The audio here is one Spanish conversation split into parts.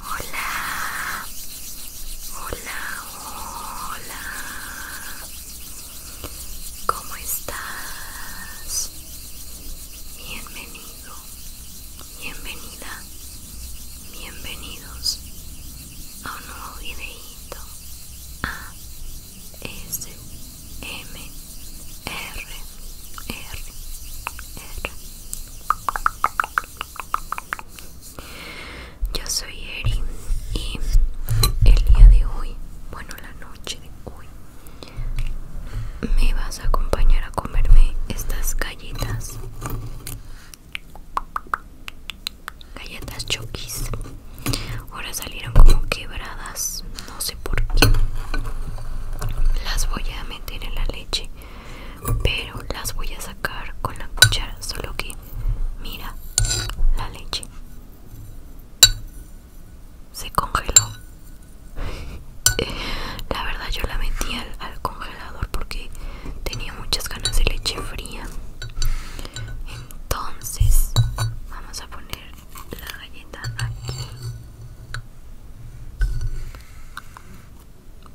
Hola, hola, hola. ¿Cómo estás? Bienvenido, bienvenida, bienvenidos a un nuevo videíto a S M R R R yo soy Erin y el día de hoy, bueno la noche de hoy, me vas a acompañar a comerme estas galletas. Galletas choquis. Ahora salieron como quebradas, no sé por qué. Las voy a meter en la leche pero las voy a sacar con la cuchara solo que mira la leche se congeló la verdad yo la metí al, congelador porque tenía muchas ganas de leche fría entonces vamos a poner la galleta aquí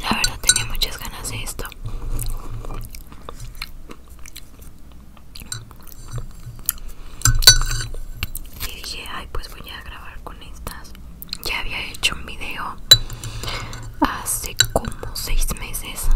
La verdad tenía muchas ganas de esto. Y dije, ay, pues voy a grabar con estas. Ya había hecho un video hace ah, como seis meses.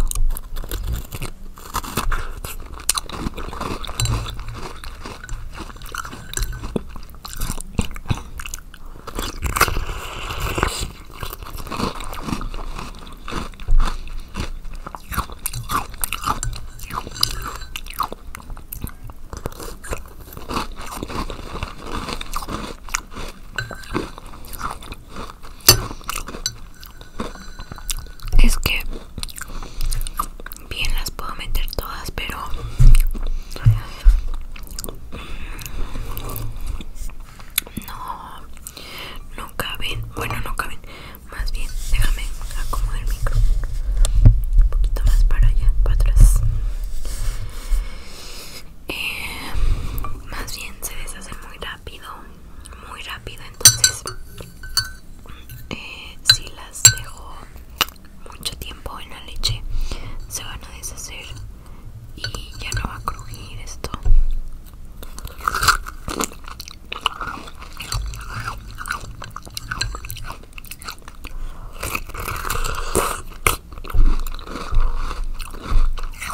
Es que bien las puedo meter todas, pero no, no caben. Bueno, no caben. Más bien, déjame acomodar el micro. Un poquito más para allá, para atrás. Eh, más bien se deshacen muy rápido rápido, muy rápido, entonces eh, si las dejo mucho tiempo en la leche se van a deshacer y ya no va a crujir esto.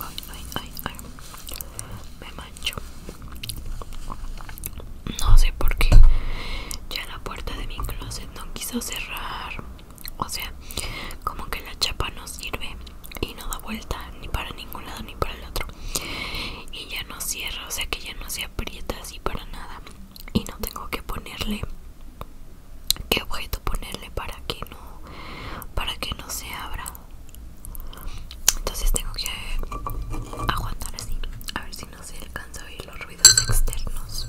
Ay, ay, ay, Me mancho. No sé por qué. Ya la puerta de mi closet no quiso cerrar. O sea, como que la chapa no sirve y no da vuelta ni para ningún lado ni para el otro. Y ya no cierra, o sea que ya no se aprieta así para nada. Y no tengo que ponerle qué objeto ponerle para que no para que no se abra entonces tengo que aguantar así a ver si no se alcanza a oír los ruidos externos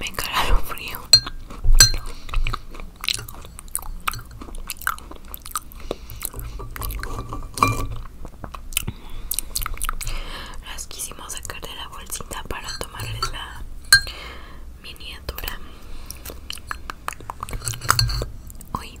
Me encara lo frío. Las quisimos sacar de la bolsita para tomarles la miniatura. Hoy.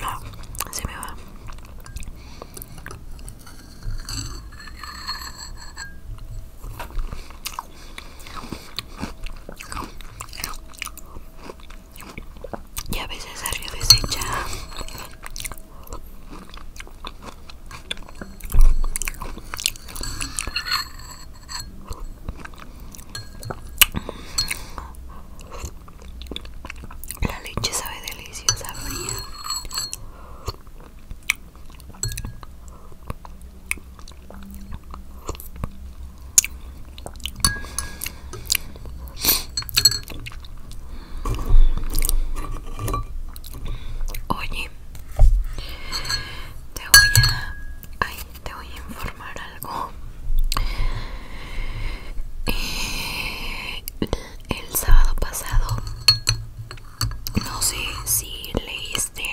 No, se me va. Y a veces salió deshecha. La leche sabe deliciosa fría. Oye, te voy a, a te voy a informar algo. Eh, el, sábado pasado, no sé si leíste.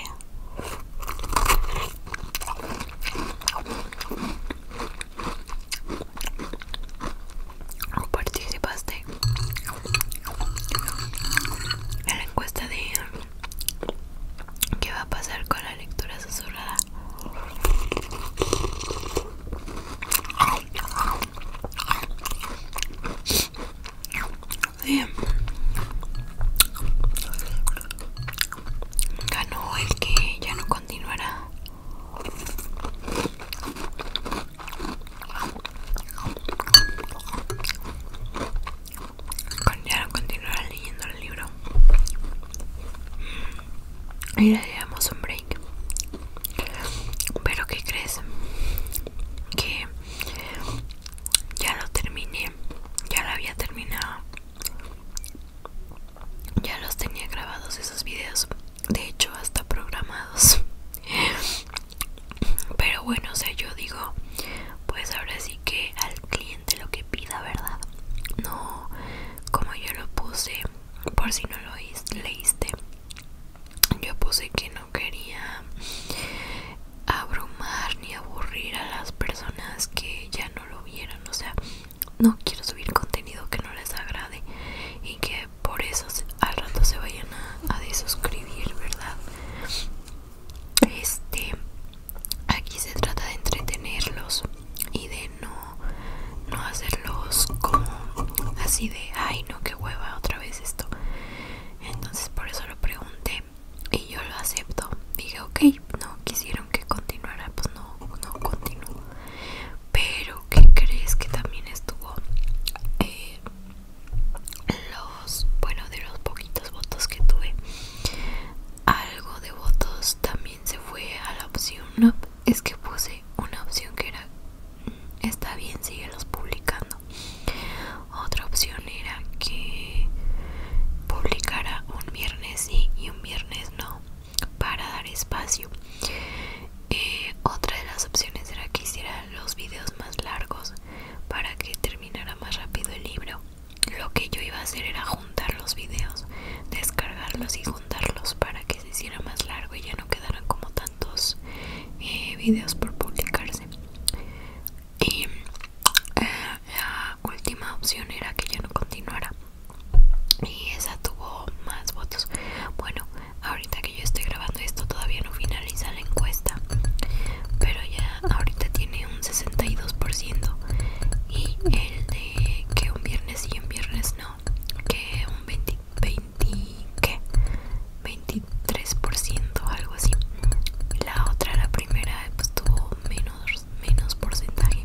¿Participaste en la encuesta de ¿Qué va a pasar con la lectura susurrada? el que ya no continuará no continuar leyendo el libro y le damos un break pero que crees que ya lo terminé ya lo había terminado ya los tenía grabados esos videos de hecho hasta programados pero bueno o sea yo digo pues ahora sí que al cliente lo que pida, ¿verdad? No como yo lo puse, por si no lo leíste, yo puse que no quería abrumar ni aburrir a las personas que ya no lo vieron, o sea, no quiero subir contenido que no les agrade y que por eso al rato se vayan a desuscribir, ¿verdad? este aquí se trata de entretenerlos y de no no hacerlos como así de ay no que hueva otra vez esto entonces por eso lo pregunté y yo lo acepto dije ok no quisieron que continuara pues no no continúo pero que crees que también estuvo eh, lo bueno de los poquitos votos que tuve algo de votos también se fue a la opción no, es que puse una opción que era mm, está bien los publicando otra opción era que publicara un viernes sí y un viernes no para dar espacio eh, otra de las opciones era que hiciera los videos más largos para que terminara más rápido el libro lo que yo iba a hacer era juntar los videos, descargarlos y juntarlos para que se hiciera más largo y ya no quedaran como tantos eh, videos por publicarse. Y eh, la última opción era que ya no continuara. Y esa tuvo más votos. Bueno, ahorita que yo estoy grabando esto todavía no finaliza encuesta pero ya ahorita tiene un 62% y el de que un viernes y un viernes no que un 20, 20 ¿qué? 23% algo así la otra la primera pues tuvo menos menos porcentaje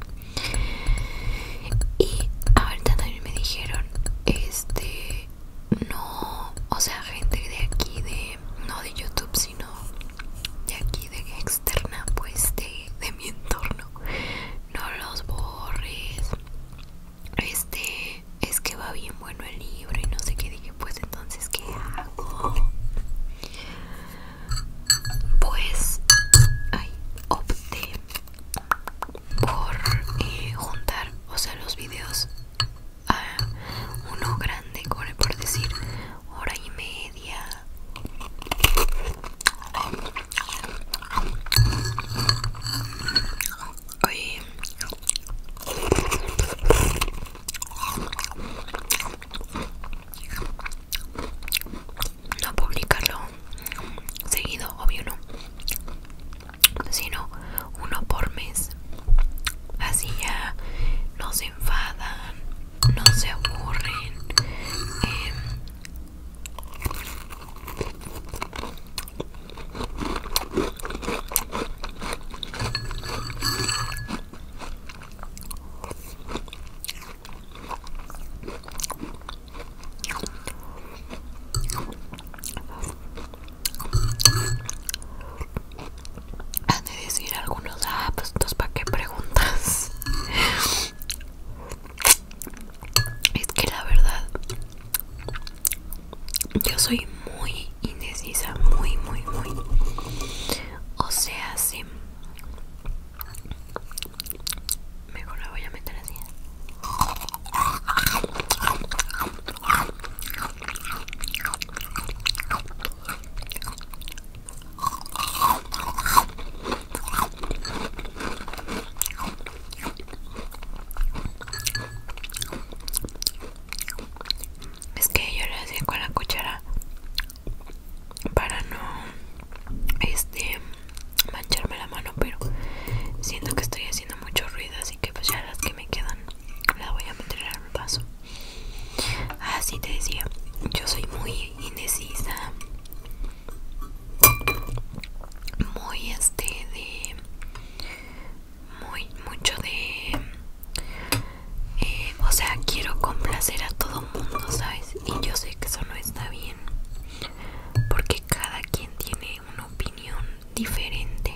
y ahorita también me dijeron este no o sea gente de aquí de no de YouTube sino de aquí de externa pues de, mi entorno no los borres este es que va bien bueno el libro y no sé qué dije pues entonces qué hago pues opté por eh, juntar o sea los videos a uno grande, por decir, hora y media. Oye. No publicarlo seguido, obvio no, sino uno por mes. Así ya no se enfadan, no se aburren. Eh, han de decir algunos, ah, pues, para que preguntas. Es que la verdad, yo soy muy indecisa, muy, muy, muy. O sea, si Mejor la voy a meter así. Es que yo lo hacía con la cuchara para no este mancharme la mano, pero siento que estoy haciendo mucho ruido, así que pues ya las que me quedan las voy a meter al paso. Así te decía, yo soy muy indecisa. Muy este de muy mucho de eh, o sea quiero complacer a todo mundo sabes y yo sé que eso no está bien porque cada quien tiene una opinión diferente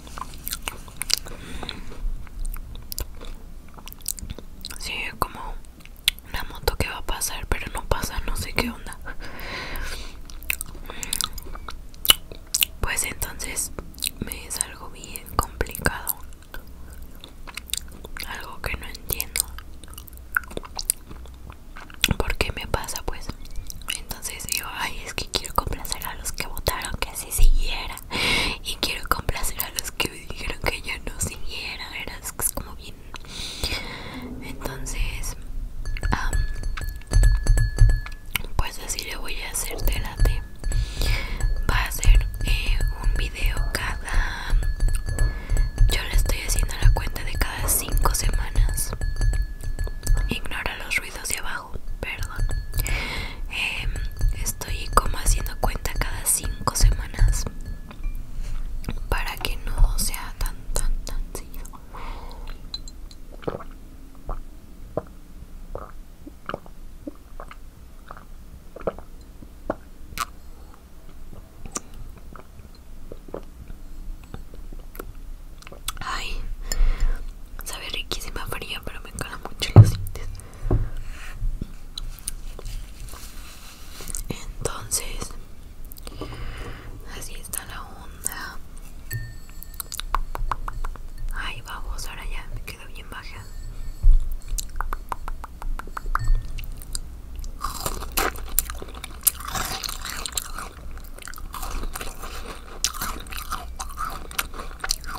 Sí, es como una moto que va a pasar, pero no pasa, no sé qué onda. Pues entonces me es algo bien complicado. Algo que no entiendo. ¿Por qué me pasa? Pues entonces digo, ay, es que quiero complacer a los que votaron, que así siguiera y quiero complacer a los que me dijeron que ya no siguiera eras como bien entonces pues así le voy a hacer delante va a ser eh, un video cada yo le estoy haciendo la cuenta de cada 5 semanas ignora los ruidos de abajo perdón. Em, estoy como haciendo cuenta cada cinco semanas para que no sea tan, tan, tan seguido. Ay, Sabe riquísima fría, pero me cala mucho los dientes. Entonces, así está la onda. ahí vamos, ahora ya me quedo bien baja.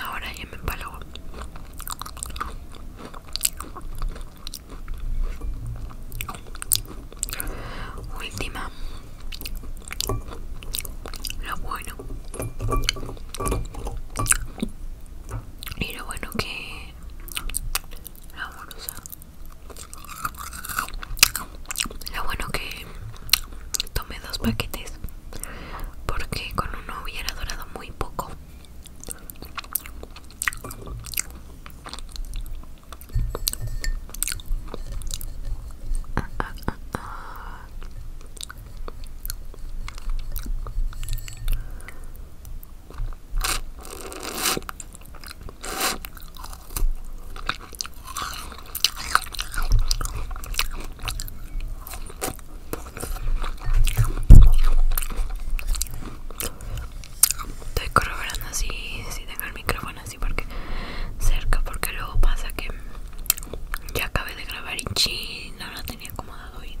Ahora ya me empalago. Última. Lo bueno. Y lo bueno que la amorosa lo bueno que tomé dos paquetes porque con uno hubiera durado muy poco Estoy corroborando así si tengo el micrófono así porque cerca porque luego pasa que ya acabé de grabar y chin, no lo tenía acomodado bien.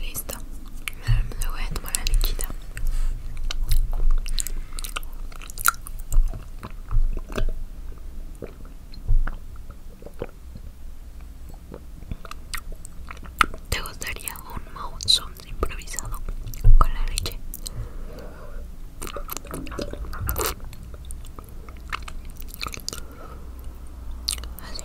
Listo. me voy a tomar la lechita ¿Te gustaría un mouse improvisado con la leche? Así.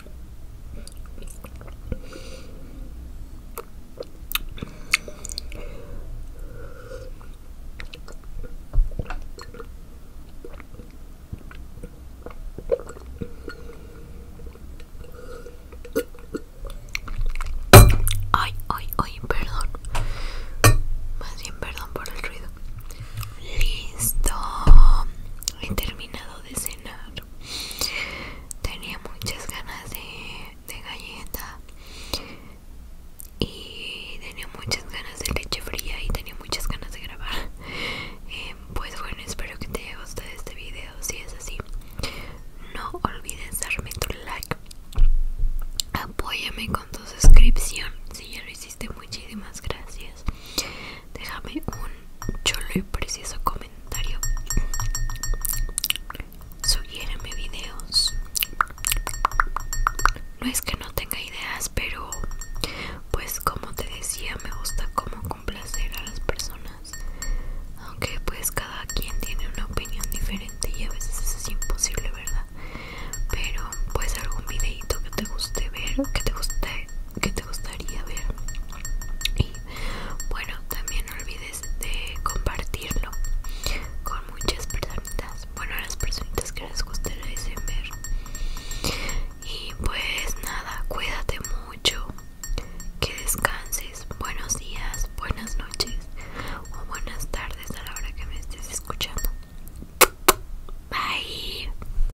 Ay, ay, ay, perdón. Más bien perdón por el ruido. Listo. He terminado de tenía muchas ganas de, galleta y tenía muchas ganas de leche fría y tenía muchas ganas de grabar eh, pues bueno espero que te haya gustado este video si es así no olvides darme tu like apóyame con tu suscripción si ya lo hiciste muchísimas gracias Déjame un chulo y precioso comentario. mis videos. No es que no tenga ideas, pero pues como te decía, me gusta como complacer a las personas. Aunque pues cada quien tiene una opinión diferente y a veces es imposible, ¿verdad? Pero pues algún videito que te guste ver, que te guste, que te gustaría ver y bueno también no olvides de compartirlo con muchas personas bueno a las personas que les guste ver y pues nada cuídate mucho que descanses buenos días buenas noches o buenas tardes a la hora que me estés escuchando bye